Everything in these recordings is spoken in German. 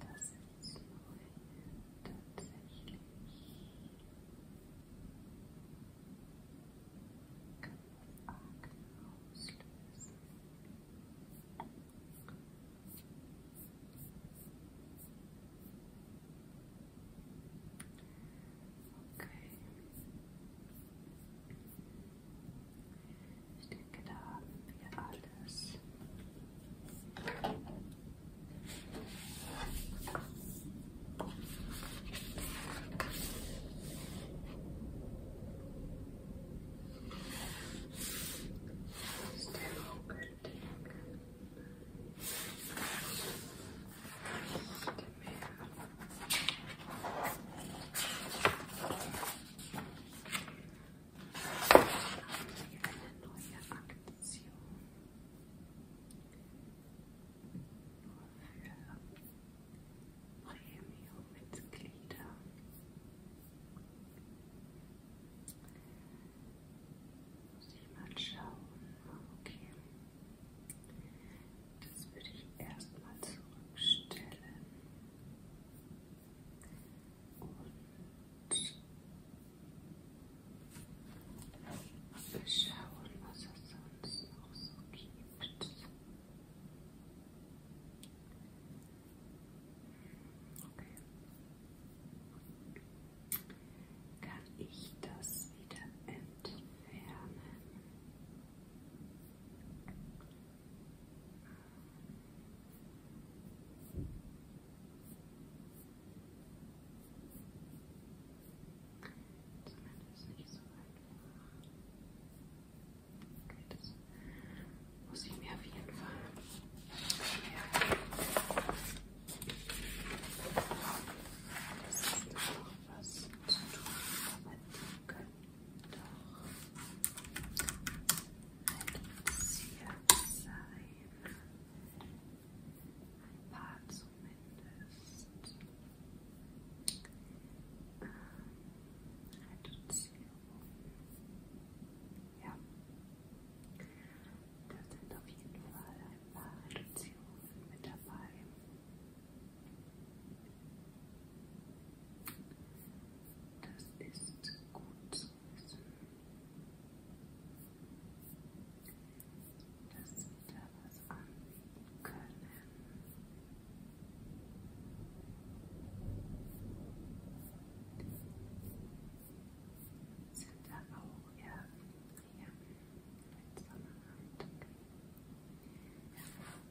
Das ist neu, tatsächlich. Kann das Akne auslösen? Okay. Ich denke, da haben wir alles. Das ist der Augenblick eine neue Aktion. Nur für Premium-Mitglieder. Muss ich mal schauen. Okay. Das würde ich erstmal zurückstellen. Und wir schauen, was es sonst noch so gibt. Okay. Kann ich das wieder entfernen? Zumindest nicht so weit. Okay, das muss ich mir auf jeden Fall merken. Das ist noch was zu tun, aber die können ein Bezirk sein. Ein paar zumindest. Ähm, Reduzierung. Ja. Da sind auf jeden Fall ein paar Reduzierungen mit dabei. Das ist gut zu wissen. Dass wir da was anbieten können. Sind da auch ja, ja, vielleicht Sonnenheit. Ja,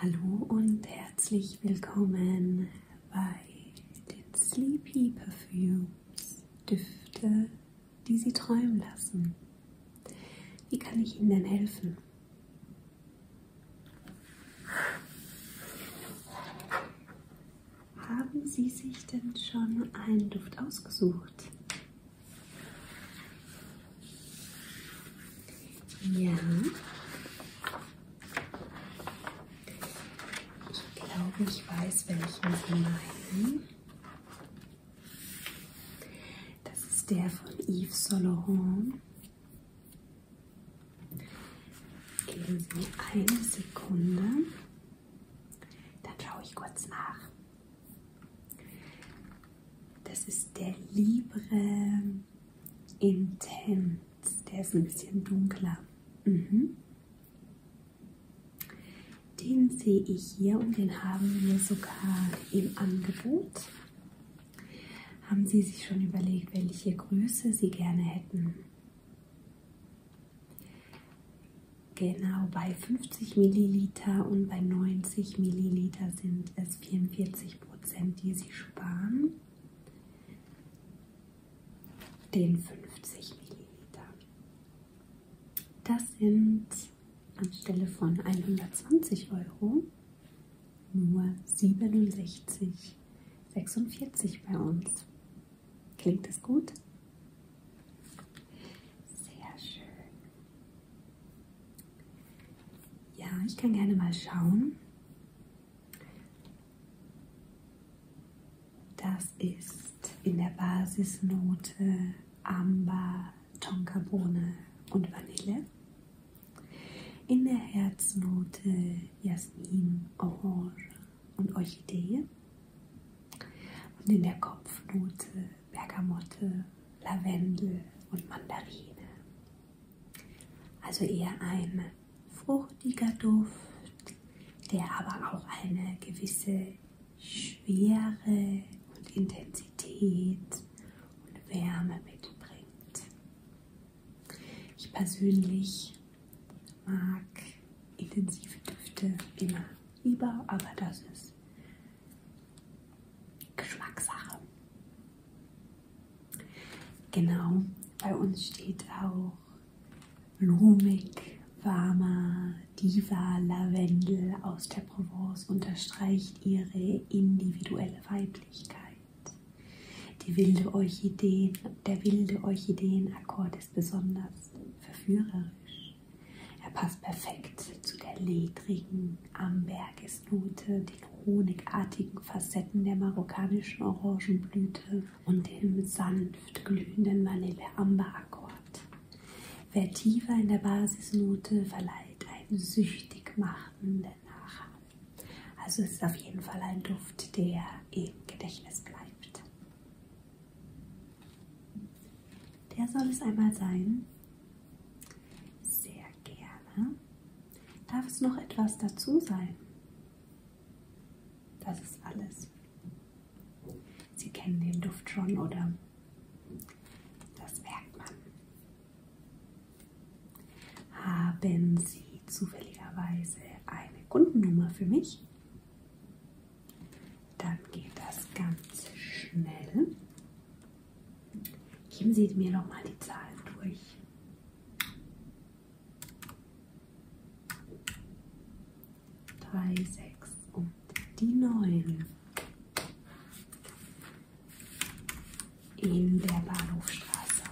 Hallo und herzlich willkommen bei den Sleepy Perfumes, Düfte, die Sie träumen lassen. Wie kann ich Ihnen denn helfen? Haben Sie sich denn schon einen Duft ausgesucht? Ja. Ich glaube, ich weiß, welchen Sie meinen. Das ist der von Yves Saint Laurent. Geben Sie mir eine Sekunde. Dann schaue ich kurz nach. Das ist der Libre Intens. Der ist ein bisschen dunkler. Mhm. Den sehe ich hier und den haben wir sogar im Angebot. Haben Sie sich schon überlegt, welche Größe Sie gerne hätten? Genau, bei 50 Milliliter und bei 90 Milliliter sind es 44 Prozent, die Sie sparen, den 50 Milliliter. Das sind anstelle von 120 Euro nur 67,46 bei uns. Klingt das gut? Sehr schön. Ja, ich kann gerne mal schauen. Das ist in der Basisnote Amber, Tonkabohne und Vanille. In der Herznote Jasmin, Orange und Orchidee. Und in der Kopfnote Bergamotte, Lavendel und Mandarine. Also eher ein fruchtiger Duft, der aber auch eine gewisse Schwere und Intensität und Wärme mitbringt. Ich persönlich mag intensive Düfte immer lieber, aber das ist Geschmackssache. Genau, bei uns steht auch blumig, warmer Diva Lavendel aus der Provence unterstreicht ihre individuelle Weiblichkeit. Die wilde Orchideen, der wilde Orchideenakkord ist besonders verführerisch. Er passt perfekt zu der ledrigen, ambergigen Gewürznote, den honigartigen Facetten der marokkanischen Orangenblüte und dem sanft glühenden Vanille-Amber-Akkord. Wer tiefer in der Basisnote verleiht einen süchtig machenden Nachhang. Also es ist auf jeden Fall ein Duft, der im Gedächtnis bleibt. Der soll es einmal sein. Sehr gerne. Darf es noch etwas dazu sein? Das ist alles. Sie kennen den Duft schon, oder? Das merkt man. Haben Sie zufälligerweise eine Kundennummer für mich? Dann geht das ganz schnell. Geben Sie mir nochmal die Zahlen durch. Drei, sechs und die neun. In der Bahnhofstraße.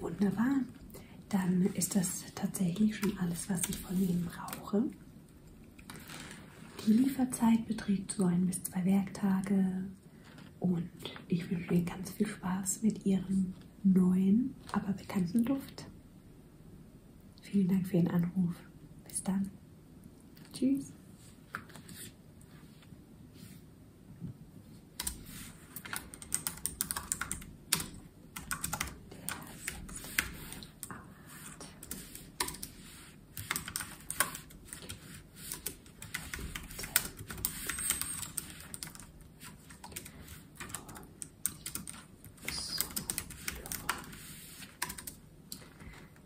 Wunderbar. Dann ist das tatsächlich schon alles, was ich von Ihnen brauche. Die Lieferzeit beträgt so ein bis zwei Werktage und ich wünsche Ihnen ganz viel Spaß mit Ihrem neuen, aber bekannten Duft. Vielen Dank für Ihren Anruf. Bis dann. Tschüss. Der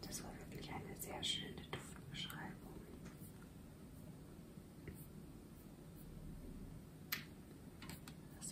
das war wirklich eine sehr schöne Duftbeschreibung. Das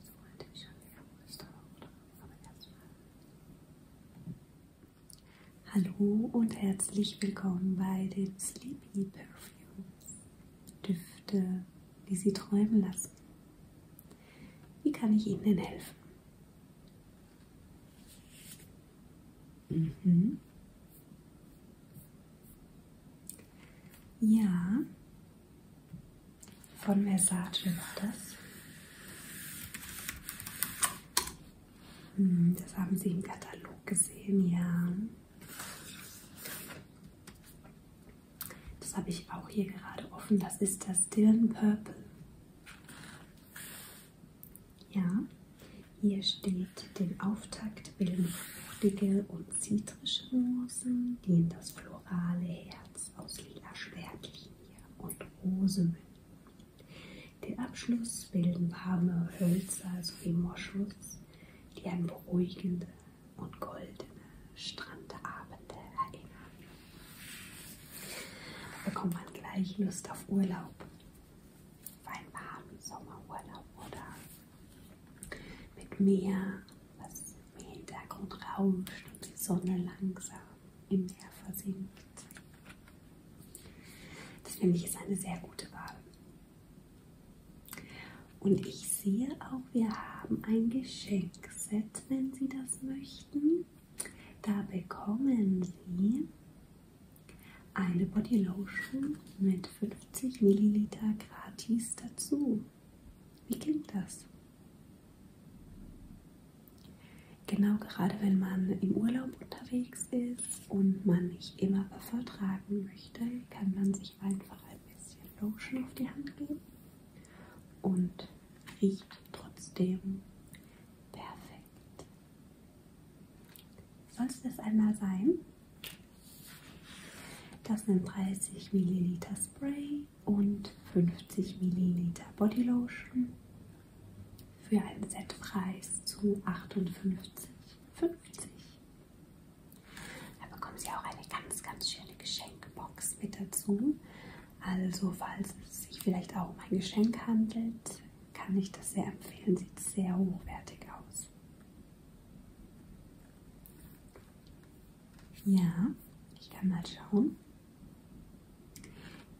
Ich wollte mich schon gefrühst, oder vom ersten Mal. Hallo und herzlich willkommen bei den Sleepy Perfumes. Düfte, die Sie träumen lassen. Wie kann ich Ihnen denn helfen? Mhm. Ja, von Versace war das. Hm, das haben Sie im Katalog gesehen, ja. Das habe ich auch hier gerade offen. Das ist das Dylan Purple. Ja, hier steht den Auftakt bilden fruchtige und zitrische Rosen, die in das florale Herz Kreuz aus lila Schwertlinie und Rosemünden. Den Abschluss bilden warme Hölzer sowie Moschus, die an beruhigende und goldene Strandabende erinnern. Da bekommt man gleich Lust auf Urlaub, auf einen warmen Sommerurlaub oder mit Meer was im Hintergrund rauscht und die Sonne langsam im Meer versinkt. Das finde ich ist eine sehr gute Wahl. Und ich sehe auch, wir haben ein Geschenkset, wenn Sie das möchten. Da bekommen Sie eine Bodylotion mit 50 Milliliter gratis dazu. Wie klingt das? Genau, gerade wenn man im Urlaub unterwegs ist und man nicht immer Buffer tragen möchte, kann man sich einfach ein bisschen Lotion auf die Hand geben und riecht trotzdem perfekt. Soll es das einmal sein? Das sind 30 Milliliter Spray und 50 ml Bodylotion für einen Setpreis zu 58,50. Da bekommen Sie auch eine ganz, ganz schöne Geschenkbox mit dazu. Also falls es sich vielleicht auch um ein Geschenk handelt, kann ich das sehr empfehlen. Sieht sehr hochwertig aus. Ja, ich kann mal schauen.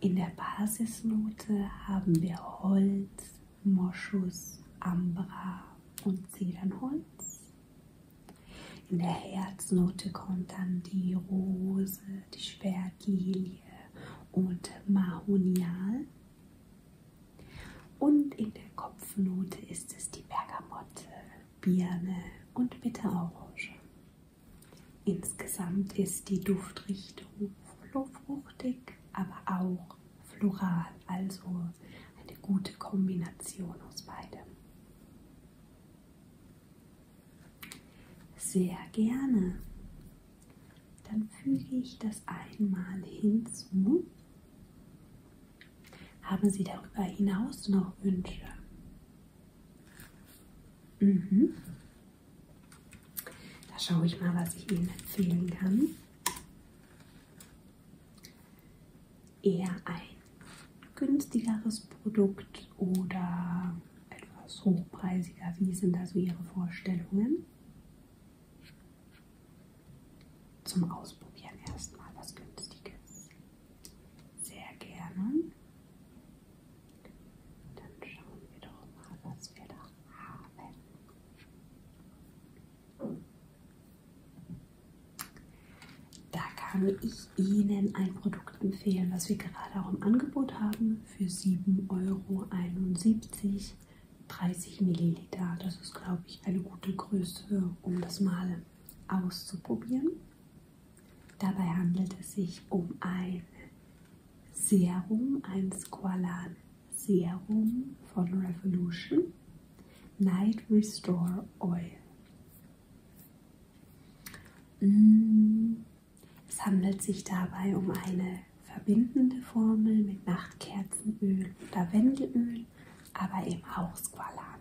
In der Basisnote haben wir Holz, Moschus, Ambra und Zedernholz. In der Herznote kommt dann die Rose, die Schwertlilie und Mahonial. Und in der Kopfnote ist es die Bergamotte, Birne und Bitterorange. Insgesamt ist die Duftrichtung fruchtig, aber auch floral, also eine gute Kombination aus beidem. Sehr gerne. Dann füge ich das einmal hinzu haben Sie darüber hinaus noch Wünsche? Mhm. Da schaue ich mal, was ich Ihnen empfehlen kann. Eher ein günstigeres Produkt oder etwas hochpreisiger? Wie sind da so Ihre Vorstellungen? Zum Ausprobieren erstmal was Günstiges. Sehr gerne. Dann schauen wir doch mal, was wir da haben. Da kann ich Ihnen ein Produkt empfehlen, was wir gerade auch im Angebot haben für 7,71 Euro. 30 Milliliter. Das ist, glaube ich, eine gute Größe, um das mal auszuprobieren. Dabei handelt es sich um ein Serum, ein Squalan Serum von Revolution Night Restore Oil. Mm. Es handelt sich dabei um eine verbindende Formel mit Nachtkerzenöl, Lavendelöl, aber eben auch Squalan.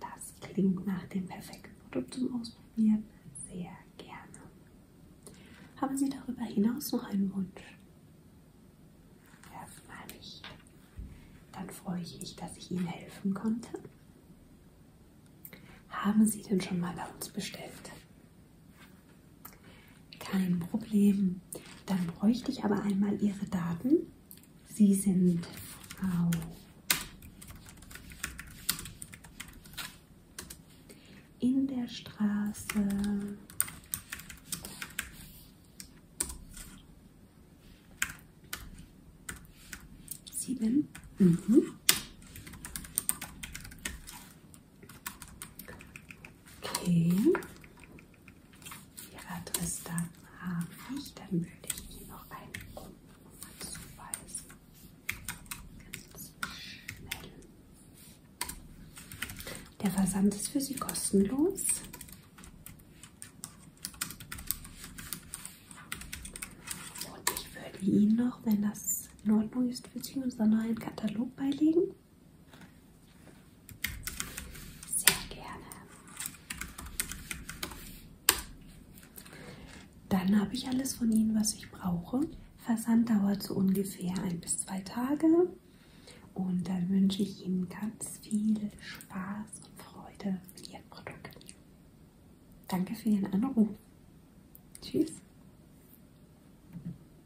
Das klingt nach dem perfekten Produkt zum Ausprobieren. Sehr gerne. Haben Sie darüber hinaus noch einen Wunsch? Erstmal nicht. Dann freue ich mich, dass ich Ihnen helfen konnte. Haben Sie denn schon mal bei uns bestellt? Kein Problem. Dann bräuchte ich aber einmal Ihre Daten. Sie sind Frau in der Straße. Sieben. Mhm. Okay. Ihre Adresse da habe ich, dann würde ich Ihnen noch eine Rundennummer zuweisen. Ganz schnell. Der Versand ist für Sie kostenlos. Und ich würde Ihnen noch, wenn das in Ordnung ist, für Sie unseren neuen Katalog beilegen. Sehr gerne. Dann habe ich alles von Ihnen, was ich brauche. Versand dauert so ungefähr ein bis zwei Tage. Und dann wünsche ich Ihnen ganz viel Spaß und Freude mit Ihren Produkten. Danke für Ihren Anruf. Tschüss.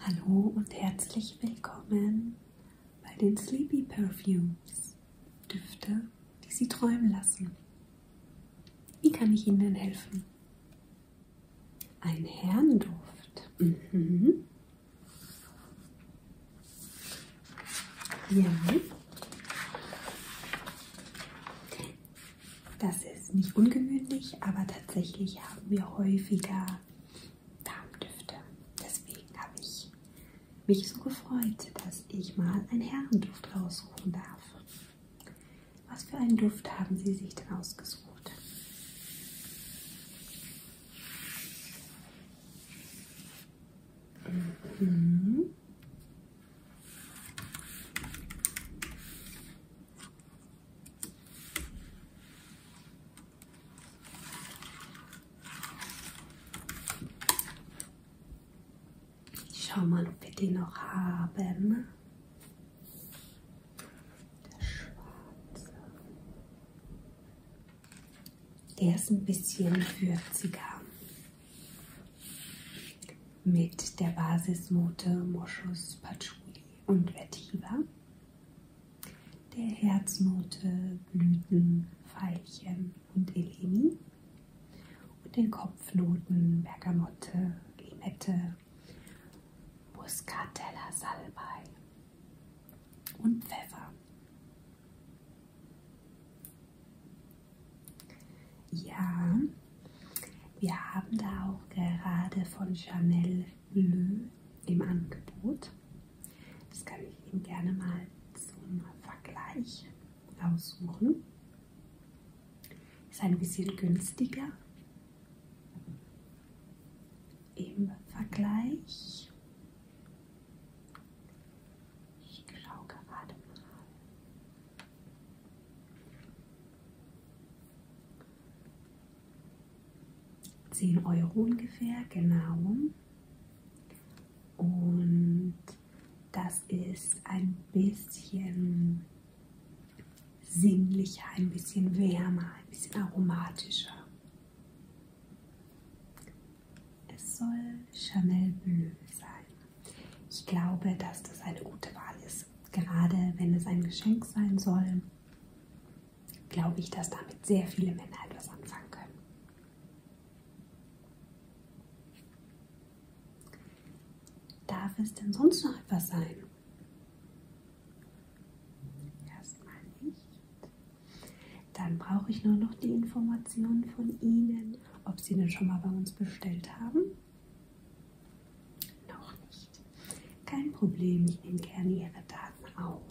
Hallo und herzlich willkommen bei den Sleepy Perfumes. Düfte, die Sie träumen lassen. Wie kann ich Ihnen denn helfen? Ein Herrenduft. Mhm. Ja. Das ist nicht ungewöhnlich, aber tatsächlich haben wir häufiger Darmdüfte. Deswegen habe ich mich so gefreut, dass ich mal einen Herrenduft raussuchen darf. Was für einen Duft haben Sie sich denn ausgesucht? Mhm. Ich schau mal, ob wir die noch haben. Der schwarze. Der ist ein bisschen würziger mit der Basisnote Moschus, Patchouli und Vetiver, der Herznote Blüten, Veilchen und Elemi und den Kopfnoten Bergamotte, Limette, Muscatella, Salbei und Pfeffer. Ja, wir haben da auch gerade von Chanel Bleu im Angebot. Das kann ich Ihnen gerne mal zum Vergleich aussuchen. Ist ein bisschen günstiger im Vergleich. Ich schaue gerade mal. 10 Euro ungefähr, genau. Und das ist ein bisschen sinnlicher, ein bisschen wärmer, ein bisschen aromatischer. Es soll Chanel Bleu sein. Ich glaube, dass das eine gute Wahl ist. Gerade wenn es ein Geschenk sein soll, glaube ich, dass damit sehr viele Männer etwas anfangen können. Darf es denn sonst noch etwas sein? Erstmal nicht. Dann brauche ich nur noch die Informationen von Ihnen, ob Sie denn schon mal bei uns bestellt haben. Noch nicht. Kein Problem, ich nehme gerne Ihre Daten auf.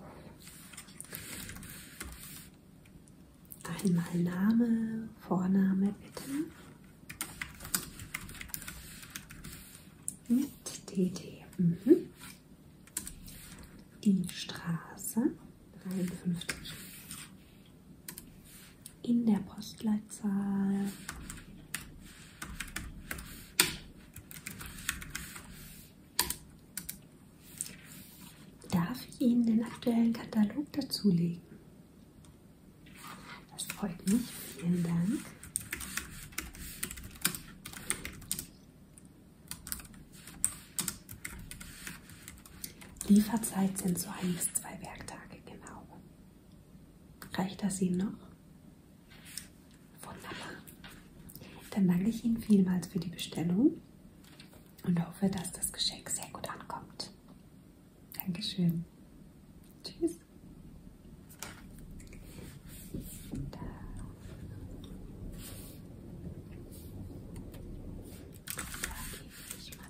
Einmal Name, Vorname bitte. Mit DD. Mhm. Die Straße 53 in der Postleitzahl. Darf ich Ihnen den aktuellen Katalog dazulegen? Das freut mich. Vielen Dank. Lieferzeit sind so ein bis zwei Werktage genau. Reicht das Ihnen noch? Wunderbar. Dann danke ich Ihnen vielmals für die Bestellung und hoffe, dass das Geschenk sehr gut ankommt. Dankeschön. Tschüss. Da, da gebe ich mal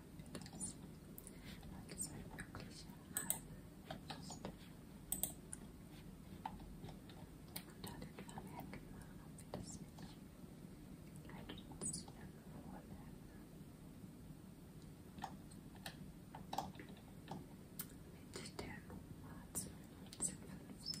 das, als ein wirklicher Alpenfest. Unter den Vermerken machen wir das nicht. Leitet uns zu ihren Mit der Nummer 1956.